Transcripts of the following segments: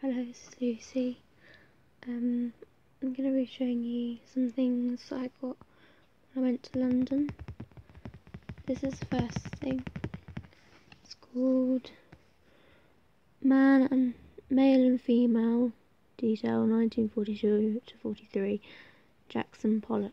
Hello, it's Lucy. Um, I'm going to be showing you some things I got when I went to London. This is the first thing. It's called Man and Male and Female Detail 1942 to 43 Jackson Pollock.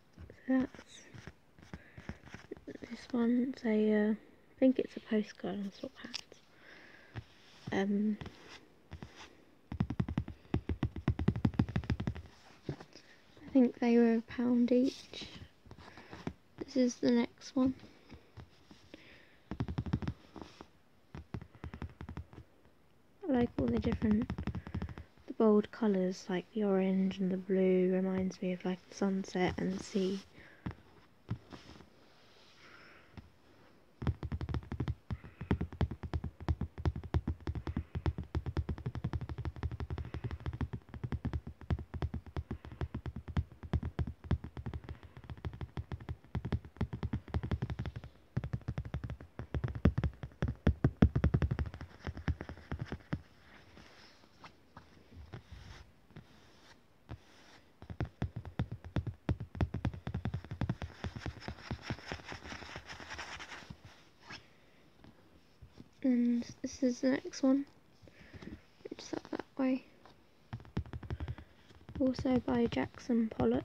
that's this one. Uh, I think it's a postcard on swap hats. Um, I think they were a pound each. This is the next one. I like all the different the bold colours, like the orange and the blue, reminds me of like the sunset and the sea. And this is the next one, which is that way. Also by Jackson Pollock.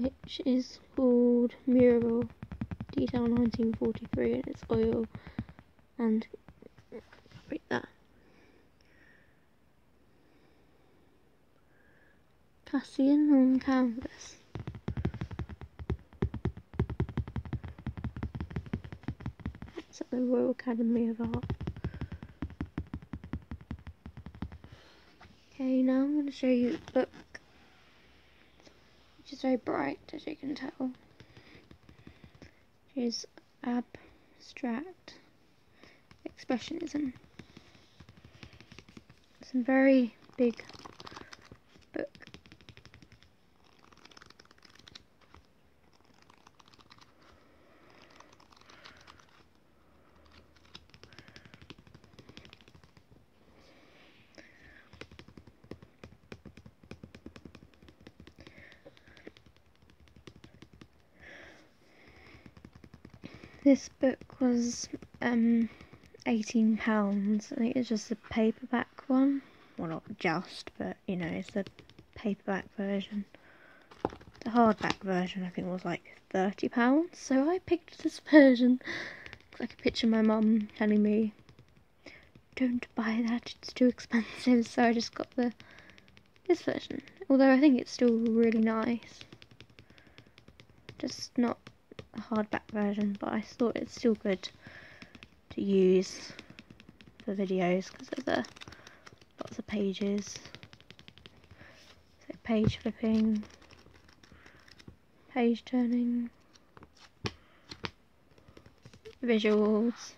which is called Mirabel, Detail 1943 and it's oil and break that. Cassian on canvas. It's at the Royal Academy of Art. Okay, now I'm going to show you the book which is very bright, as you can tell. It is abstract expressionism. It's a very big book. This book was um, £18 I think it's just a paperback one well not just but you know it's the paperback version the hardback version I think was like £30 so I picked this version like a picture of my mum telling me, don't buy that, it's too expensive. So I just got the this version. Although I think it's still really nice. Just not a hardback version, but I thought it's still good to use for videos because of the lots of pages. So page flipping page turning, visuals,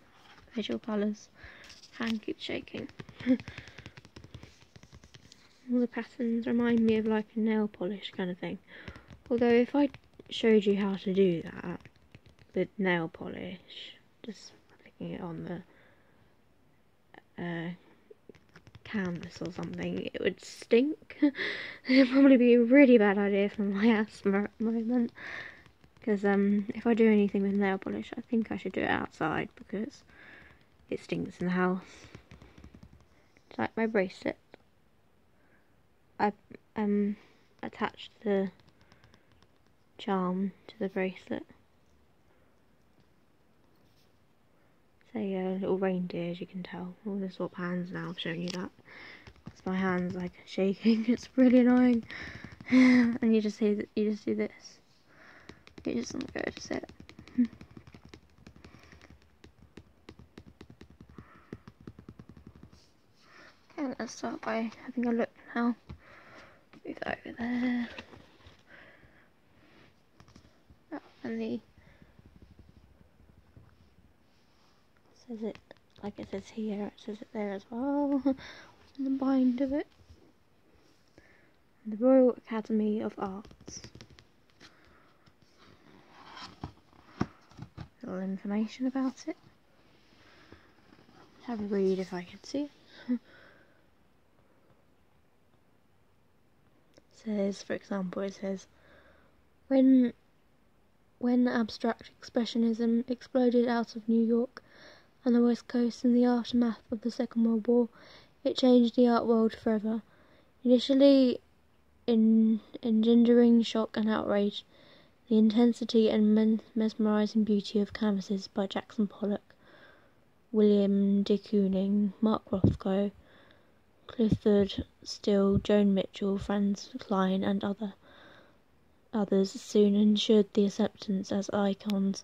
visual colours. Hand keeps shaking. All the patterns remind me of like a nail polish kind of thing. Although if I showed you how to do that with nail polish, just clicking it on the uh, canvas or something, it would stink think it'd probably be a really bad idea for my asthma at the moment. Because um, if I do anything with nail polish, I think I should do it outside because it stinks in the house. It's like my bracelet. I um attached the charm to the bracelet. So a little reindeer as you can tell. All the swap hands now, i have shown you that. It's my hand's like shaking, it's really annoying. and you just see that you just do this. You just don't go to sit. okay, let's start by having a look now. Move over there. Oh, and the says it like it says here, it says it there as well. in the bind of it? The Royal Academy of Arts. Little information about it. Have a read if I can see says, for example, it says, when when abstract expressionism exploded out of New York and the West Coast in the aftermath of the Second World War, it changed the art world forever. Initially, in engendering shock and outrage, the intensity and mesmerizing beauty of canvases by Jackson Pollock, William de Kooning, Mark Rothko, Clifford Still, Joan Mitchell, Franz Kline, and other others soon ensured the acceptance as icons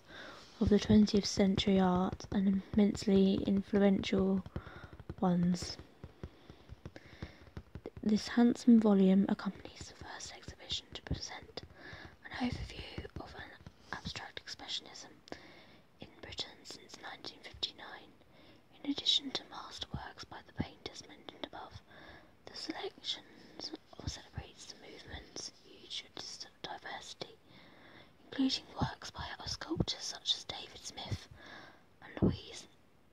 of the 20th century art and immensely influential ones. This handsome volume accompanies the first exhibition to present an overview of abstract expressionism in Britain since 1959. In addition to masterworks by the painters mentioned above, the selections celebrates the movement's huge diversity, including works by other sculptors such as David Smith and Louise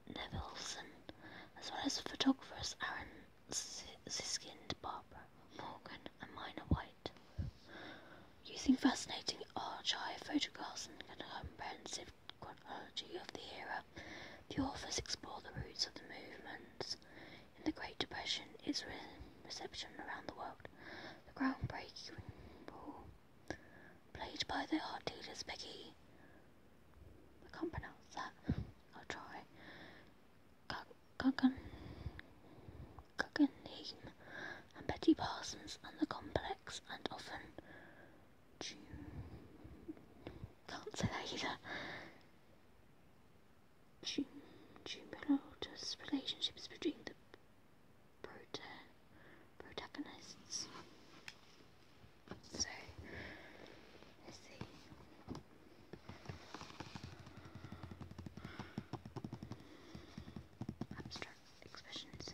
Nevelson, as well as photographers Aaron Siskind, Barbara Morgan, and Minor White using fascinating archive photographs and a comprehensive chronology of the era. The authors explore the roots of the movements in the Great Depression, its reception around the world, the groundbreaking role played by the art dealers Peggy. I can't pronounce that. I'll try. Guggenheim and Betty Parsons and the Complex, and often June. Can't say that either. June, June Pilotus relationships between the prota protagonists. So, expressions.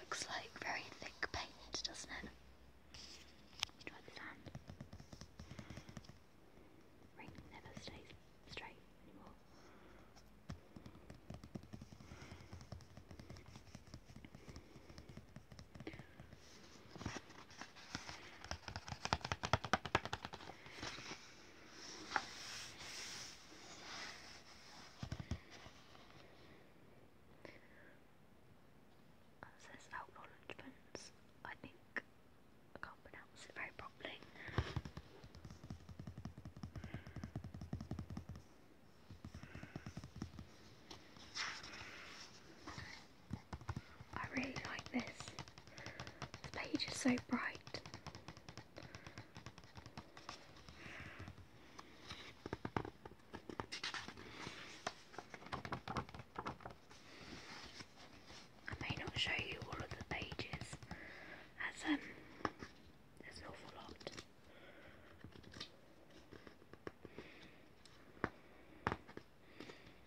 Looks like very thick paint, doesn't it? Ring never stays straight anymore. It says I think I can't pronounce it very properly. I really like this. The page is so bright. I may not show you all of the pages as um there's an awful lot.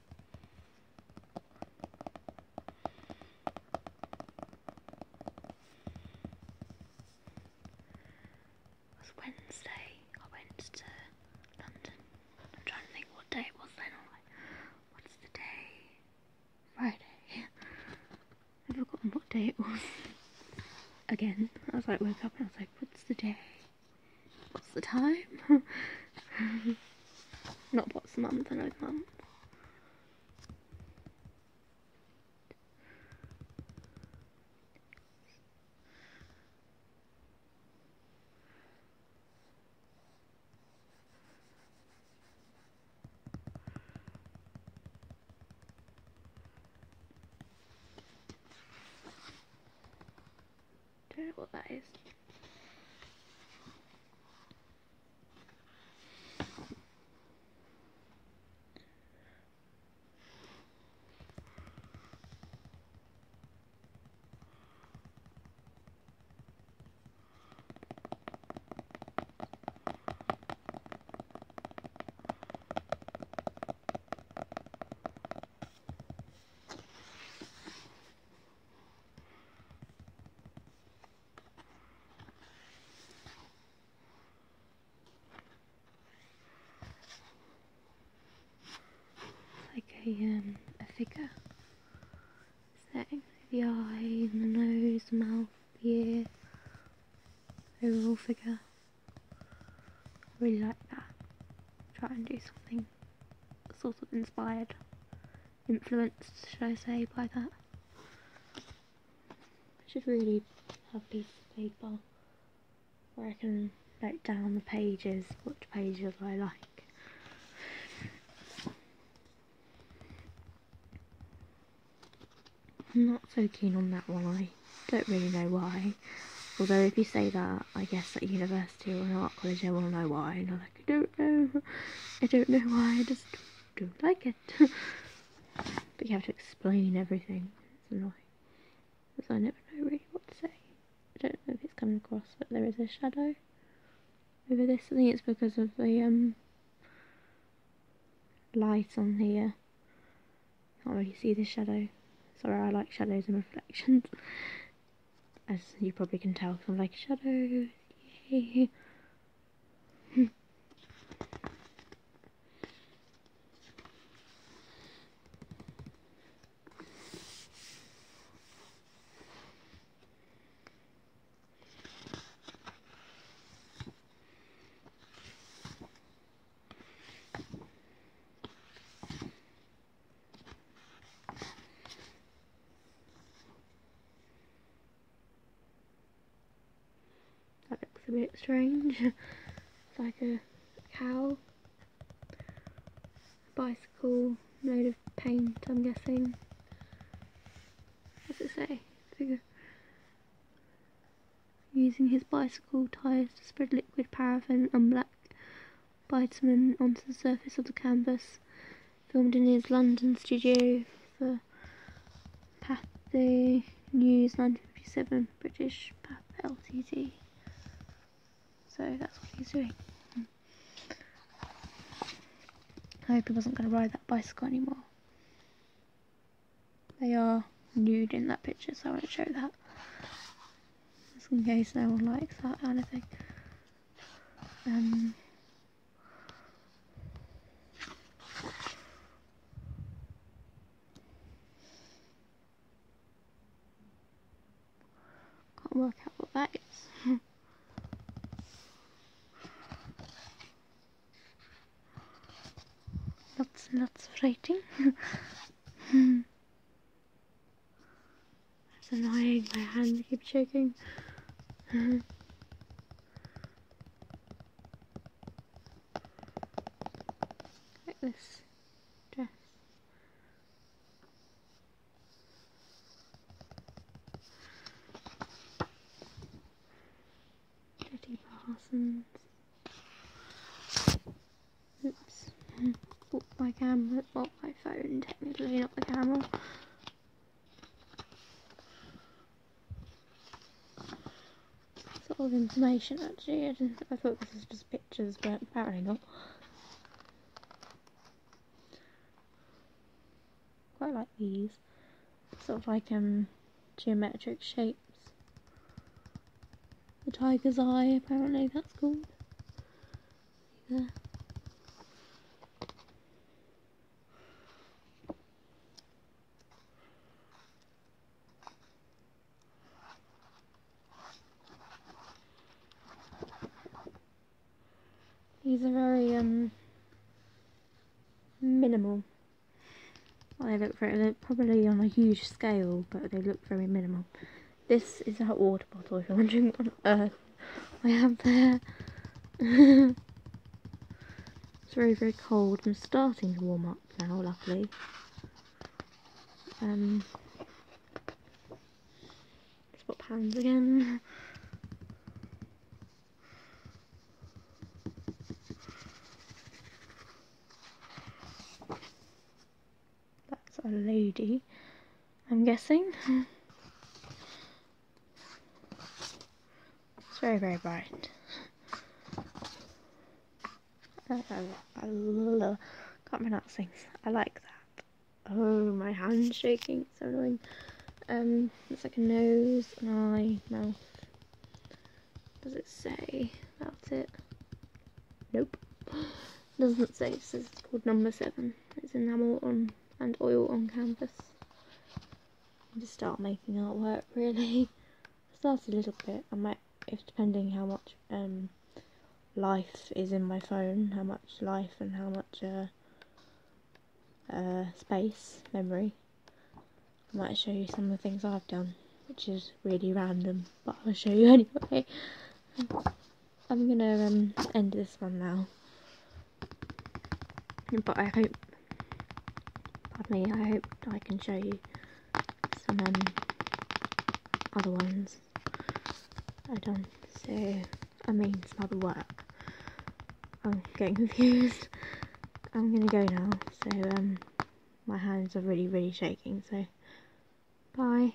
It was Wednesday I went to London. I'm trying to think what day it was then. what's the day? Friday. I've forgotten what day it was. Again, I was like, woke up and I was like, what's the day? What's the time? Not what's the month, I know the month. Don't know what that is. Like a um a figure setting the eyes, the nose, the mouth, the ear, overall figure. I really like that. Try and do something sort of inspired, influenced, should I say, by that. I should really have a piece of paper where I can note down the pages, which pages I like. I'm not so keen on that one, I don't really know why. Although if you say that, I guess at university or an art college I want to know why and I'm like I don't know I don't know why I just don't like it but you have to explain everything it's annoying because I never know really what to say I don't know if it's coming across but there is a shadow over this I think it's because of the um light on here can't uh, really see the shadow sorry I like shadows and reflections as you probably can tell from like shadows. That looks a bit strange. it's like a cow, bicycle, load of paint, I'm guessing. What does it say? Figure. Using his bicycle tyres to spread liquid paraffin and black bitumen onto the surface of the canvas, filmed in his London studio for Pathé News 1957 British Path Ltd. So that's what he's doing. I hope he wasn't going to ride that bicycle anymore. They are nude in that picture, so I won't show that. Just in case no one likes that kind of thing. Um, can't work out what that is. That's and lots of writing. Hmm. That's annoying, my hands keep shaking. Uh-huh. like this dress. Jetty Parsons. Oops. my camera. Oh my phone, technically not the camera. Sort of information actually, I, thought this was just pictures but apparently not. Quite like these, sort of like um, geometric shapes. The tiger's eye apparently that's called. These are very, um, minimal. Well, they look very, they're probably on a huge scale, but they look very minimal. This is our water bottle, if you're wondering what on earth I have there. it's very, very cold. I'm starting to warm up now, luckily. Um, spot again. That's a lady, I'm guessing. it's very, very bright. I, love, can't pronounce things. I like that. Oh, my hand's shaking. It's so annoying. Um, it's like a nose, an eye, mouth. Does it say? That's it. Nope doesn't say it says it's called number seven. It's enamel on and oil on canvas. And just start making artwork really. I a little bit. I might if depending how much um, life is in my phone, how much life and how much uh, uh, space, memory. I might show you some of the things I've done, which is really random, but I'll show you anyway. I'm gonna um, end this one now. But I hope, pardon me, I hope I can show you some um, other ones I've done. So, I mean, some other work. I'm getting confused. I'm gonna go now. So, um, my hands are really, really shaking. So, bye.